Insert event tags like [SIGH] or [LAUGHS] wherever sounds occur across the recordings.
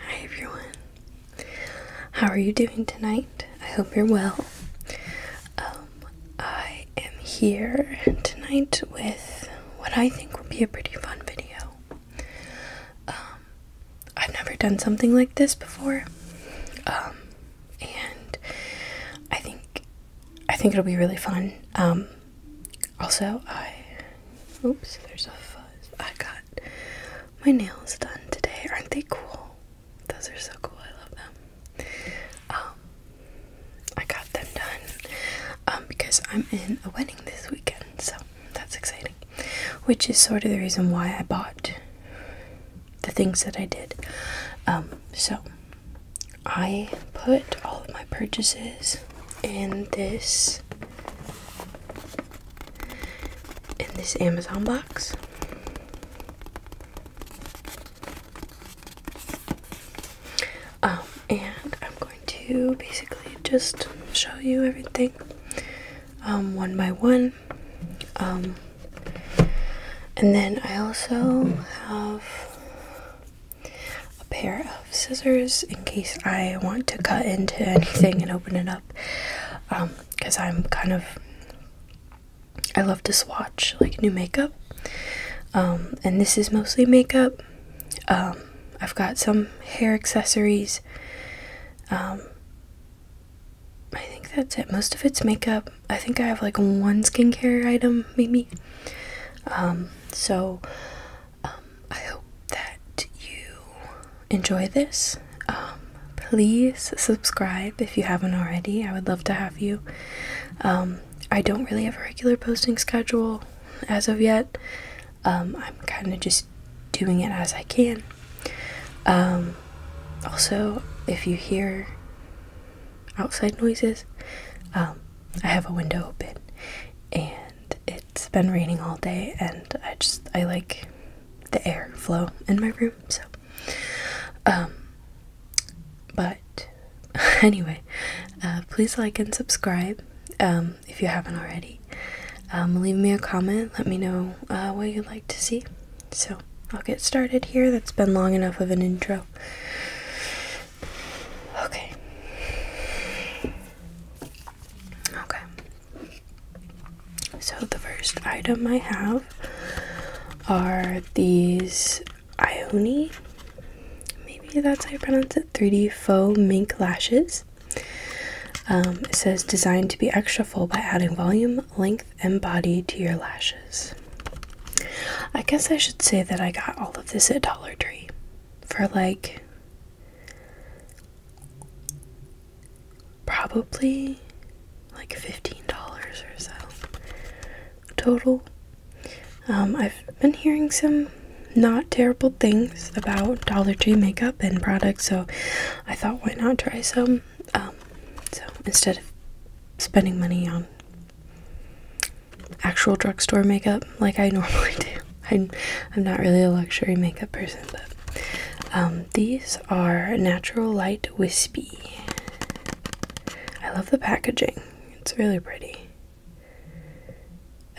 Hi everyone. How are you doing tonight? I hope you're well. Um, I am here tonight with what I think will be a pretty fun video. Um, I've never done something like this before. Um, and I think I think it'll be really fun. Also, I. Oops, there's a fuzz. I got my nails done today. Aren't they cool? Those are so cool. I love them. Um, I got them done um, because I'm in a wedding this weekend, so that's exciting. Which is sort of the reason why I bought the things that I did. Um, so I put all of my purchases in this in this Amazon box. Um, and I'm going to basically just show you everything um, one by one. Um, and then I also have a pair of scissors in case I want to cut into anything and open it up. Because um, I'm kind of, I love to swatch like new makeup. Um, and this is mostly makeup. Um, I've got some hair accessories. I think that's it. Most of it's makeup. I think I have like one skincare item, maybe. so um, I hope that you enjoy this. Um, please subscribe if you haven't already. I would love to have you. Um, I don't really have a regular posting schedule as of yet. I'm kind of just doing it as I can. also, if you hear outside noises, I have a window open and it's been raining all day and I just I like the air flow in my room so um but [LAUGHS] anyway uh, please like and subscribe um if you haven't already um leave me a comment let me know uh, what you'd like to see so I'll get started here that's been long enough of an intro Okay. Okay. So the first item I have are these Ioni. Maybe that's how you pronounce it. 3D faux mink lashes. Um, it says designed to be extra full by adding volume, length, and body to your lashes. I guess I should say that I got all of this at Dollar Tree for like Probably like $15 or so total. Um, I've been hearing some not terrible things about Dollar Tree makeup and products, so I thought why not try some. Um, so instead of spending money on actual drugstore makeup like I [LAUGHS] normally do. I'm, I'm not really a luxury makeup person, but um, these are Natural Light Wispy. I love the packaging, it's really pretty.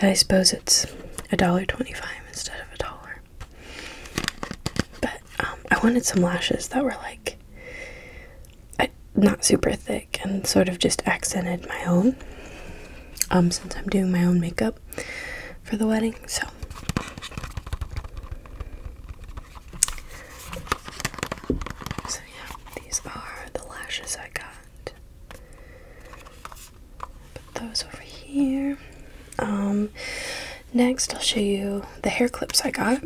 I suppose it's $1.25 instead of a dollar. But um, I wanted some lashes that were like not super thick and sort of just accented my own um, since I'm doing my own makeup for the wedding. So so yeah, these are the lashes I got. Put those over here. Um, next, I'll show you the hair clips I got.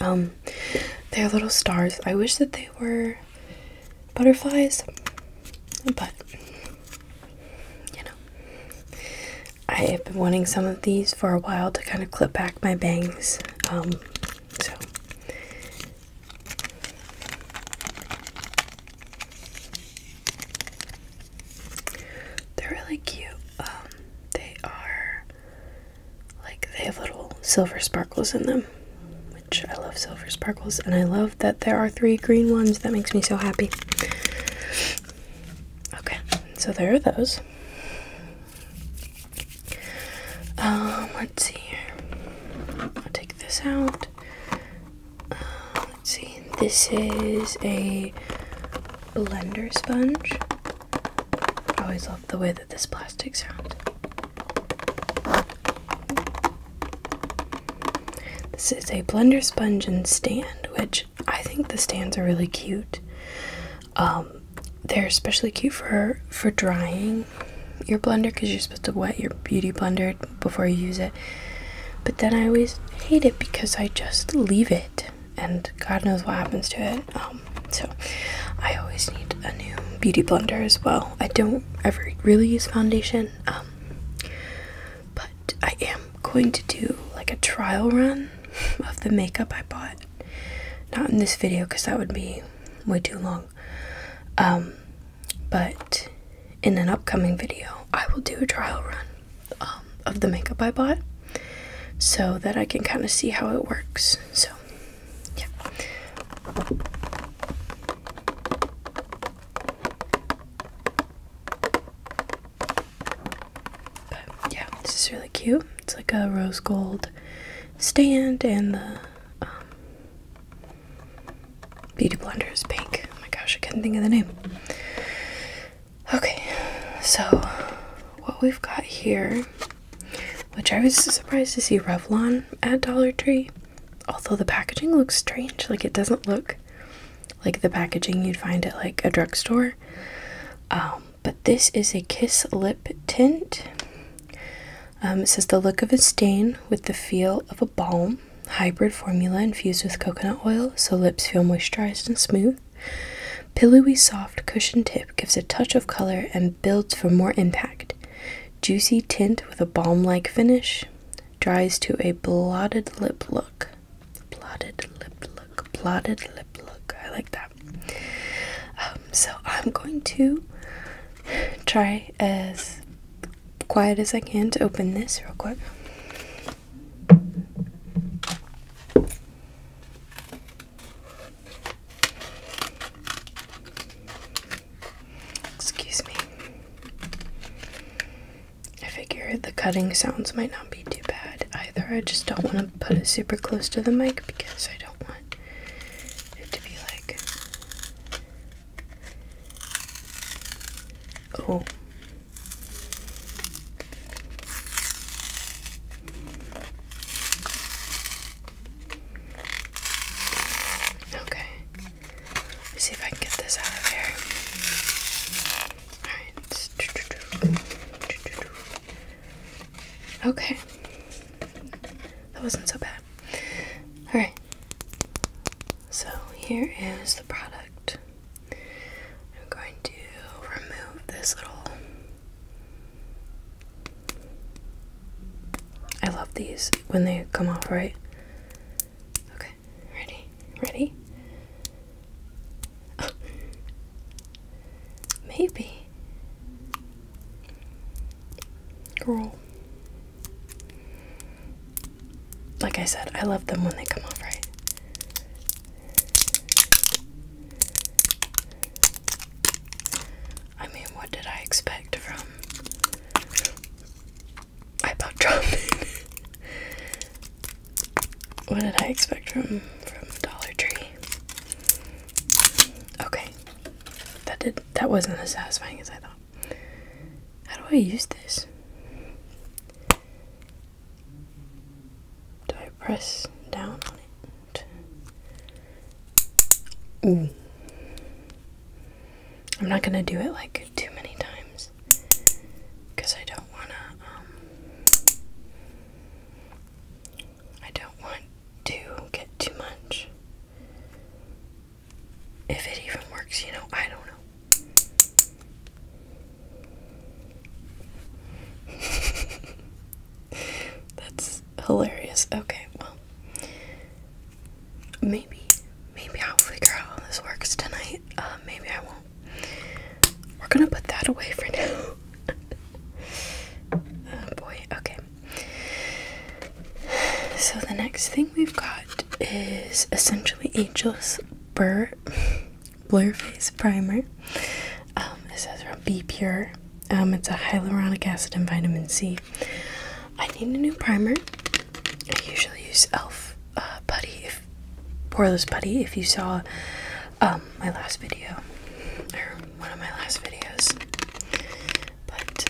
Um, they're little stars. I wish that they were butterflies, but you know, I have been wanting some of these for a while to kind of clip back my bangs. Um, so they're really cute. Um, they are like they have little silver sparkles in them, which I love silver sparkles, and I love that there are three green ones. That makes me so happy. Okay, so there are those. Um, let's see here. I'll take this out. Um, let's see. This is a blender sponge. I always love the way that this plastic sounds. This is a blender sponge and stand, which I think the stands are really cute. Um, they're especially cute for for drying your blender because you're supposed to wet your beauty blender before you use it. But then I always hate it because I just leave it, and God knows what happens to it. Um, so I always need a new beauty blender as well. I don't ever really use foundation, um, but I am going to do like a trial run [LAUGHS] of the makeup I bought. Not in this video because that would be way too long, um, but in an upcoming video, I will do a trial run um, of the makeup I bought so that I can kind of see how it works. So yeah. yeah, this is really cute. It's like a rose gold stand, and the um, beauty blender is pink. Oh my gosh, I couldn't think of the name. Okay, so what we've got here which I was surprised to see Revlon at Dollar Tree. Although the packaging looks strange, like it doesn't look like the packaging you'd find at like a drugstore. Um, but this is a Kiss Lip Tint. Um, it says the look of a stain with the feel of a balm, hybrid formula infused with coconut oil so lips feel moisturized and smooth. Pillowy soft cushion tip gives a touch of color and builds for more impact. Juicy tint with a balm-like finish. Dries to a blotted lip look. Blotted lip look. Blotted lip look. I like that. Um, so I'm going to try as quiet as I can to open this real quick. Excuse me. I figure the cutting sounds might not be too bad either. I just don't want to put it super close to the mic because I don't want it to be like. Oh. Okay. see if I can get this out of here. Alright. Okay. That wasn't so bad. Alright. So here is the product. I'm going to remove this little I love these when they come off, right? Okay, ready? Ready? [LAUGHS] Maybe. Girl. Like I said, I love them when they come off, right? I mean, what did I expect from I dropping? [LAUGHS] what did I expect from from Dollar Tree? Okay, that did that wasn't as satisfying as I thought. How do I use this? Do I press down on it? I'm not gonna do it like too many times because I don't wanna, um, I don't want to get too much. If it even works, you know, I don't know. [LAUGHS] That's hilarious. Okay, well, maybe maybe I'll figure out how this works tonight. Um, maybe I won't. We're gonna put that away for now. [LAUGHS] oh boy, okay. So the next thing we've got is essentially Angel's [LAUGHS] Blur Face Primer. Um, it says from B Pure. Um, it's a hyaluronic acid and vitamin C. I need a new primer. I usually use Elf uh, Putty, if, Poreless Putty. If you saw um, my last video or one of my last videos, but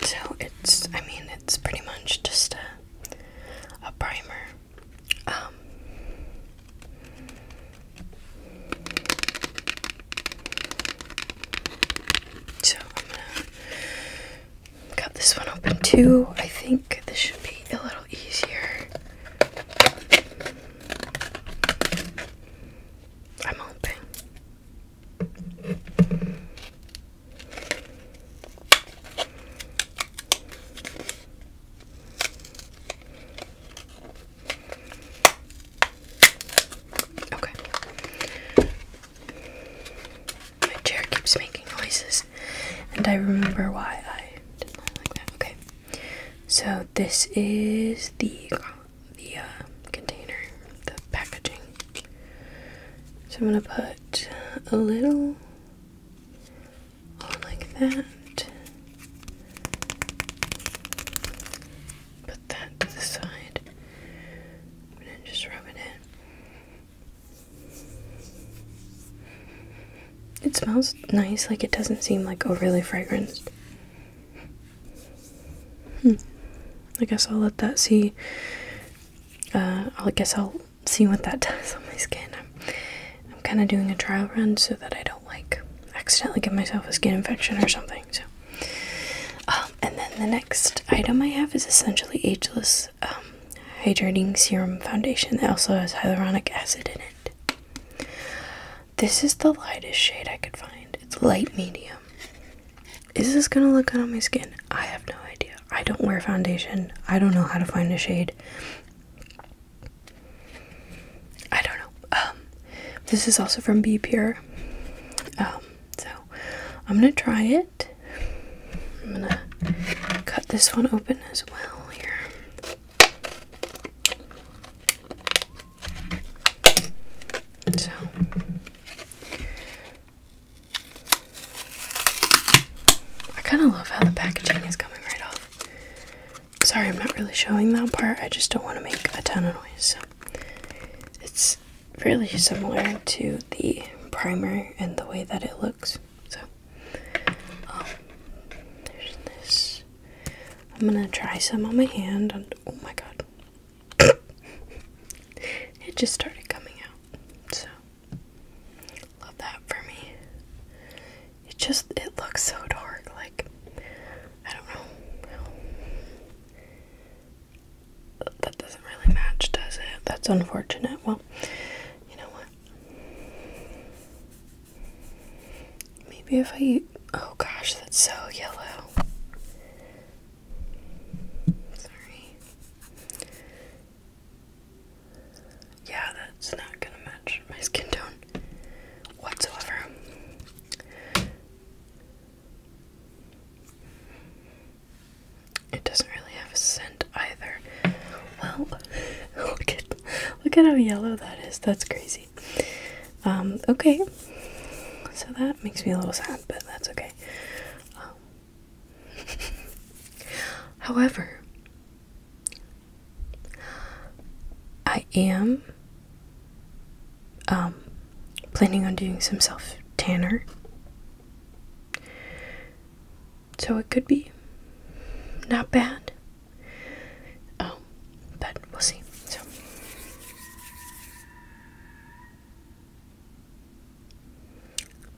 um, so it's. I mean, it's pretty much just a a primer um, so I'm gonna cut this one open too. I think this should be a little easier. I'm hoping. Okay. My chair keeps making noises, and I remember why I did not like that. Okay. So this is the the uh, container, the packaging. So I'm gonna put a little like that. Put that to the side just rub it in. It smells nice, like it doesn't seem like overly fragranced. Hmm. I guess I'll let that see. Uh, I guess I'll see what that [LAUGHS] does on my skin. I'm, kind of doing a trial run so that I don't like accidentally give myself a skin infection or something. So, um, and then the next item I have is essentially ageless um, hydrating serum foundation that also has hyaluronic acid in it. This is the lightest shade I could find. It's light medium. Is this gonna look good on my skin? I have no idea. I don't wear foundation. I don't know how to find a shade. I don't know. Um, this is also from Be Pure. Um, so I'm gonna try it. I'm gonna cut this one open as well here. So I kind of love how the packaging is coming right off. Sorry, I'm not really showing that part. I just don't want to make a ton of noise. So. It's fairly similar to the primer and the way that it looks. So, um, there's this. I'm gonna try some on my hand, and oh my god, [COUGHS] it just started coming out. So, Love that for me. It just it looks so dark, like I don't know. That doesn't really match, does it? That's unfortunate. Well, you know what? Maybe if I oh gosh, that's so yellow. Sorry. Yeah, that's not gonna match my skin tone whatsoever. It doesn't really have a scent either. Well, [LAUGHS] look at look at how yellow that is. That's crazy. Um, okay. So that makes me a little sad, but that's okay. Um, [LAUGHS] however, I am um, planning on doing some self tanner. So it could be not bad. Oh, but we'll see. So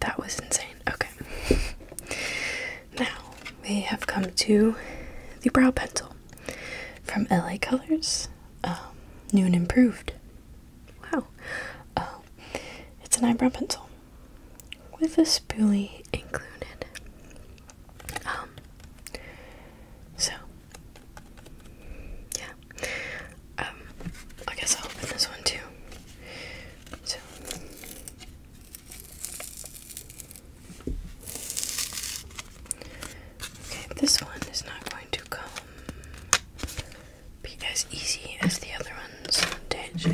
that was insane. Okay. [LAUGHS] Now we have come to the brow pencil from LA Colors, um, new and improved. Wow, uh, it's an eyebrow pencil with a spoolie included. Um, so yeah, um, I guess I'll open this one too. So Okay, this one is not going to come be as easy as the other ones did.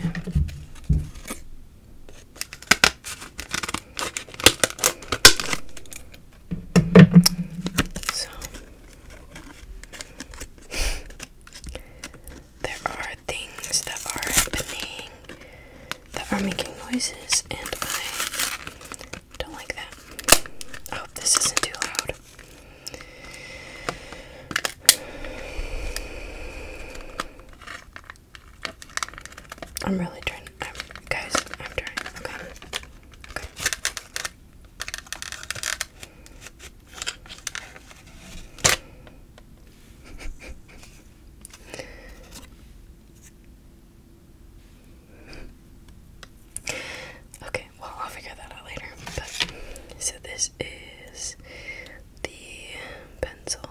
So there are things that are happening that are making noises, and I don't like that. I hope this isn't too loud. I'm really trying. I'm, guys, I'm trying. Okay. [LAUGHS] Okay, well, I'll figure that out later. so this is the pencil.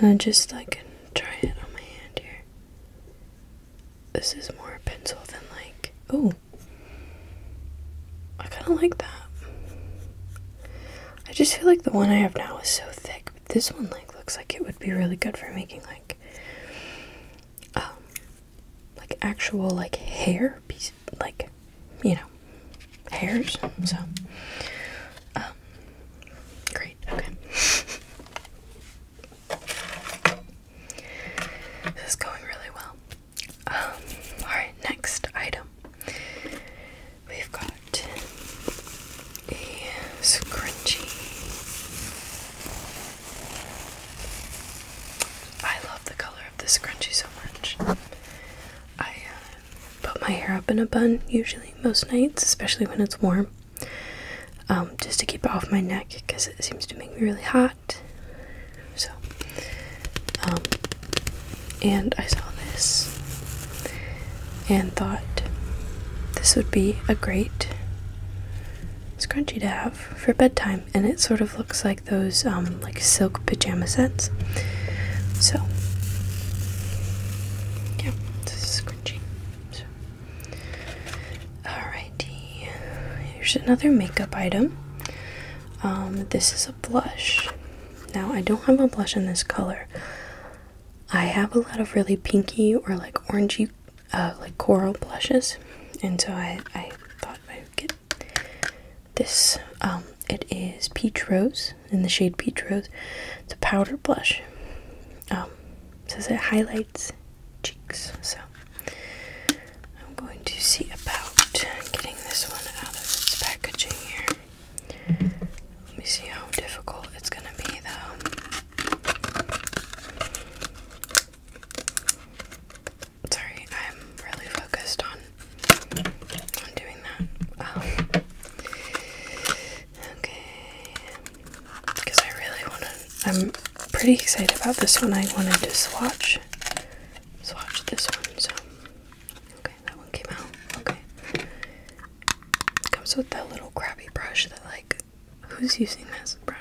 I'm um, just like try it on my hand here. This is more pencil than like. Oh, I kind of like that. I just feel like the one I have now is so thick, but this one like looks like it would be really good for making like um like actual like hair piece like you know hairs. So um great, okay. [LAUGHS] This is going really well. Um, Alright, next item. We've got a scrunchie. I love the color of this scrunchie so much. I uh, put my hair up in a bun usually most nights, especially when it's warm, um, just to keep it off my neck because it seems to make me really hot. So um, and I saw this and thought this would be a great scrunchie to have for bedtime and it sort of looks like those um, like silk pajama sets so yeah this is scrunchie so. alrighty here's another makeup item um, this is a blush. Now, I don't have a blush in this color. I have a lot of really pinky or like orangey, uh, like coral blushes, and so I, I thought I would get this. Um, it is Peach Rose in the shade Peach Rose. It's a powder blush. Um, says it highlights cheeks, so I'm going to see about getting this one out of its packaging here. Let me see how difficult it's going to be, though. Sorry, I'm really focused on on doing that. okay, because I really want to. I'm pretty excited about this one. I wanted to swatch swatch this one, so. Okay, that one came out. Okay. comes with that little crabby brush that, like, who's using this brush?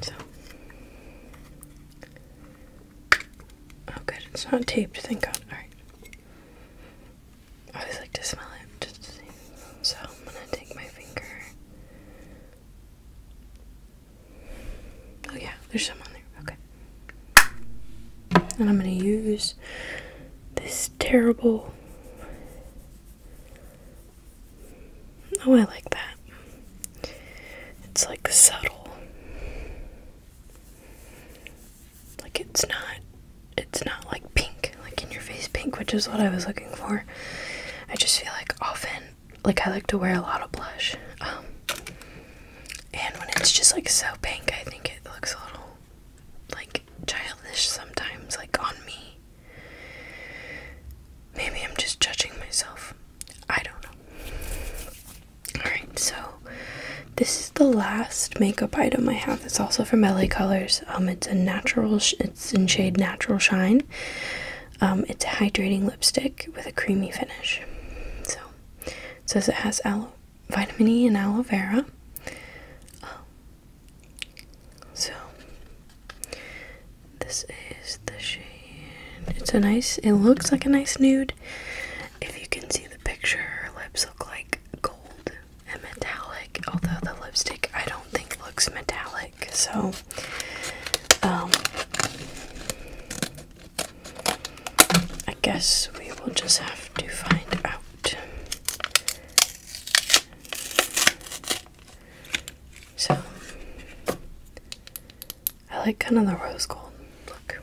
So. Oh, good. It's not taped, thank God. Alright. I always like to smell it So I'm gonna take my finger Oh yeah, there's some on there. Okay. And I'm gonna use this terrible. Oh, I like that. It's like subtle. Like it's not it's not like pink, like in your face pink, which is what I was looking for. I just feel like often like I like to wear a lot of blush. Um, and when it's just like so pink, I think it looks a little like childish sometimes, like on me. Maybe I'm just judging myself. I don't know. Alright, so this is the last makeup item I have. It's also from LA Colors. Um, it's a natural, it's in shade Natural Shine. Um, it's a hydrating lipstick with a creamy finish. So it says it has vitamin E and aloe vera. so this is the shade. It's a nice. It looks like a nice nude. If you can see the picture, her lips look like gold and metallic. Although the lipstick, I don't think looks metallic. So, um, I guess we will just have to find out. So, I like kind of the rose gold look.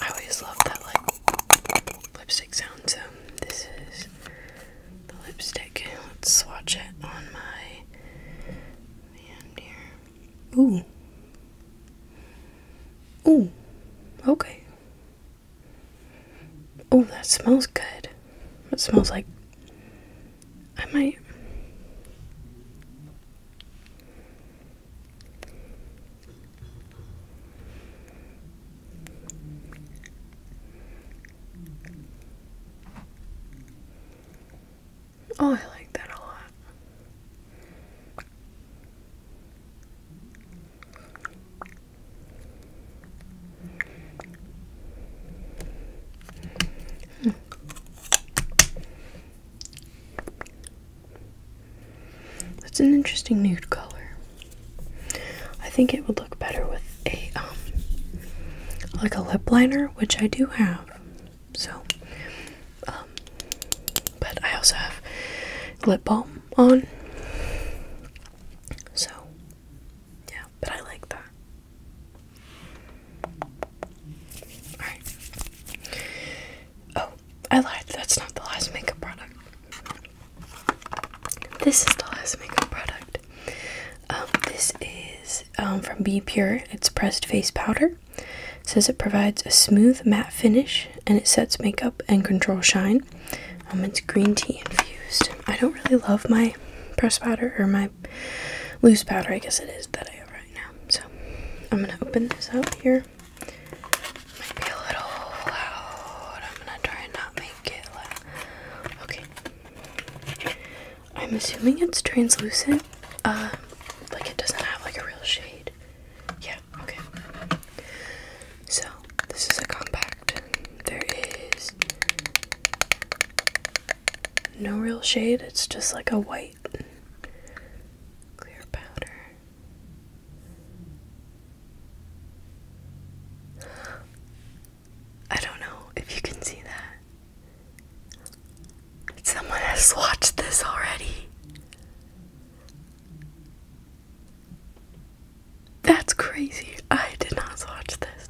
I always love that like lipstick sound, so um, this is the lipstick. Let's swatch it on my hand here. Ooh. Ooh. Okay. Oh, that smells good. It smells like I might Oh, I like that a lot. Hmm. That's an interesting nude color. I think it would look better with a um, like a lip liner, which I do have. So um, but I also have lip balm on. So yeah, but I like that. Alright. Oh, I lied. That's not the last makeup product. This is the last makeup product. Um, this is um, from Be Pure. It's pressed face powder. says it provides a smooth matte finish and it sets makeup and control shine. Um, it's green tea infused. I don't really love my pressed powder or my loose powder, I guess it is, that I have right now. So I'm going to open this up here. Might a little loud. I'm going to try not make it loud. Okay. I'm assuming it's translucent. Uh, like it doesn't have like a real shade. Yeah, okay. So, this is a compact. There is no real shade, it's just like a white clear powder. I don't know if you can see that. Someone has watched this already. That's crazy. I did not watch this.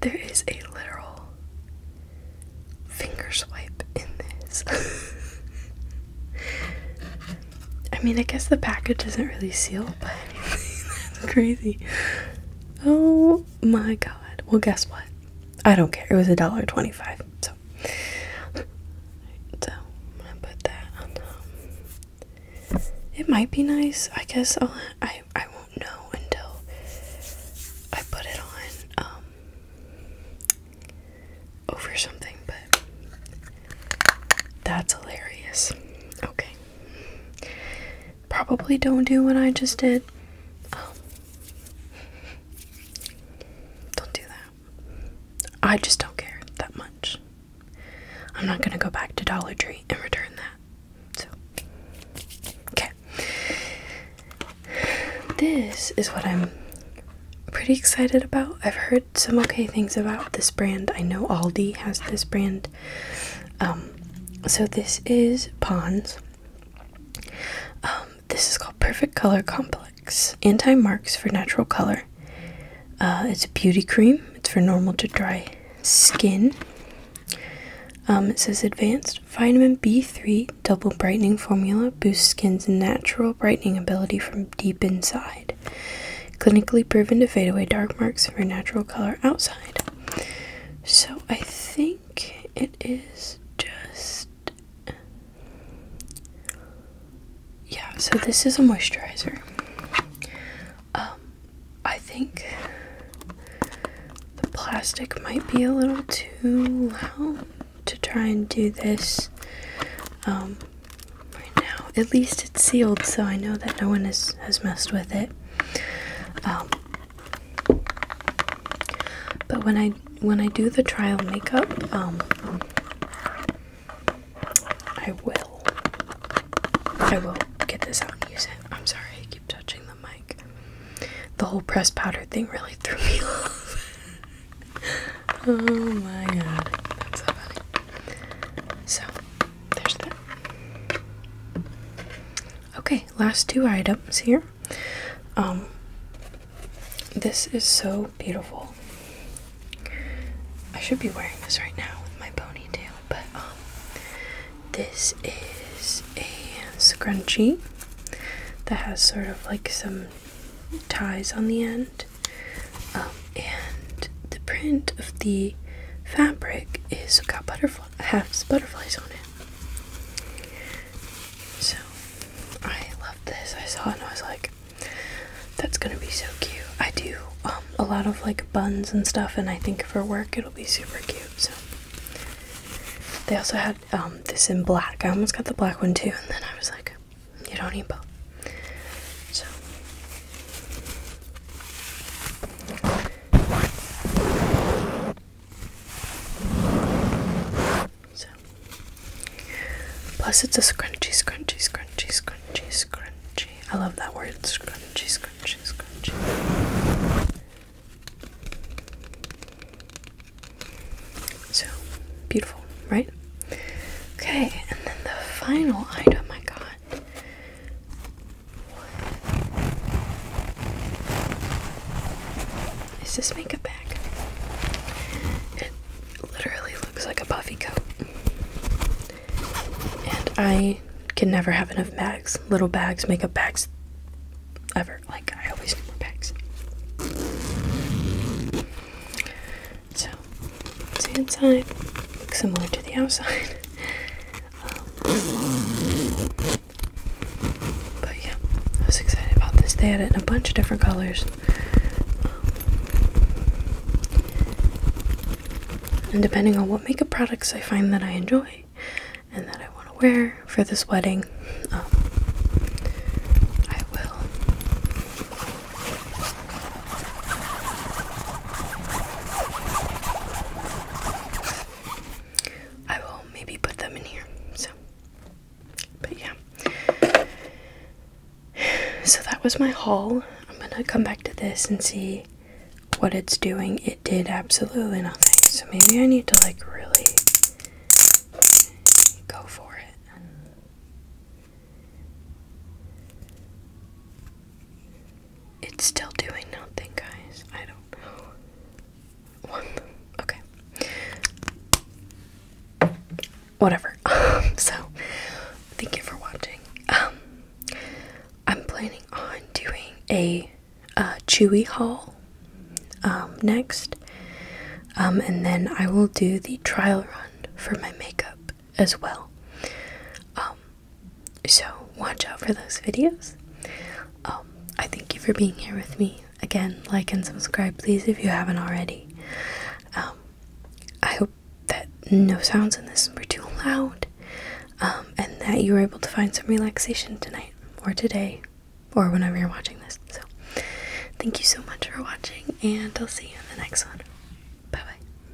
There is a literal finger swipe in this. [LAUGHS] I mean, I guess the package is not really sealed. but [LAUGHS] that's crazy. Oh my god. Well, guess what? I don't care. It was a dollar twenty-five. So, so I'm gonna put that it might be nice. I guess I'll, I I won't know until I put it on um, over something. But that's hilarious. Okay. Probably don't do what I just did. Don't do that. I just don't care that much. I'm not gonna go back to Dollar Tree and return that. So, okay. This is what I'm pretty excited about. I've heard some okay things about this brand. I know Aldi has this brand. Um, so this is Pond's. Um, this is called Perfect Color Complex. Anti marks for natural color. Uh, it's a beauty cream. It's for normal to dry skin. Um, it says advanced vitamin B3 double brightening formula boosts skin's natural brightening ability from deep inside. Clinically proven to fade away dark marks for natural color outside. So I think it is just. Yeah, so this is a moisturizer. Um, I think the plastic might be a little too loud to try and do this. Um, right now. At least it's sealed, so I know that no one has, has messed with it. Um, but when I when I do the trial makeup, um, I will. I will get this out and use it. I'm sorry, keep touching the mic. The whole press powder thing really [LAUGHS] threw me off. [LAUGHS] oh my god, that's so funny. So there's that. Okay, last two items here. Um, this is so beautiful. I should be wearing this right now with my ponytail, but um, this is a scrunchie that has sort of like some ties on the end um, and the print of the fabric is got butterfly has butterflies on it. So I love this. I saw it and I was like, that's gonna be so cute. I do um, a lot of like buns and stuff, and I think for work it'll be super cute. So they also had um, this in black. I almost got the black one too, and then I was like, you don't need both. So so plus it's a scrunchy scrunchy scrunchy scrunchy scrunchy I love that word scrunchy scrunchy scrunchy so beautiful right okay and then the final item I got is this makeup bag? It literally looks like a puffy coat. And I can never have enough bags. Little bags, makeup bags, ever. Like, I always need more bags. So it's the inside looks similar to the outside. [LAUGHS] Um, but yeah, I was excited about this. They had it in a bunch of different colors. Um, and depending on what makeup products I find that I enjoy and that I want to wear for this wedding, um, I will I will maybe put them in here. So, but yeah. So that was my haul. I'm gonna come back to this and see what it's doing. It did absolutely nothing. So maybe I need to like really go for it. It's still doing nothing, guys. I don't know. okay. Whatever. [LAUGHS] Um, so, thank you for watching. Um, I'm planning on doing a uh, Chewy haul um, next, and then I will do the trial run for my makeup as well so watch out for those videos. Um, I thank you for being here with me. Again, like and subscribe, please, if you haven't already. Um, I hope that no sounds in this were too loud um, and that you were able to find some relaxation tonight or today or whenever you're watching this. So, thank you so much for watching, and I'll see you in the next one. Bye bye.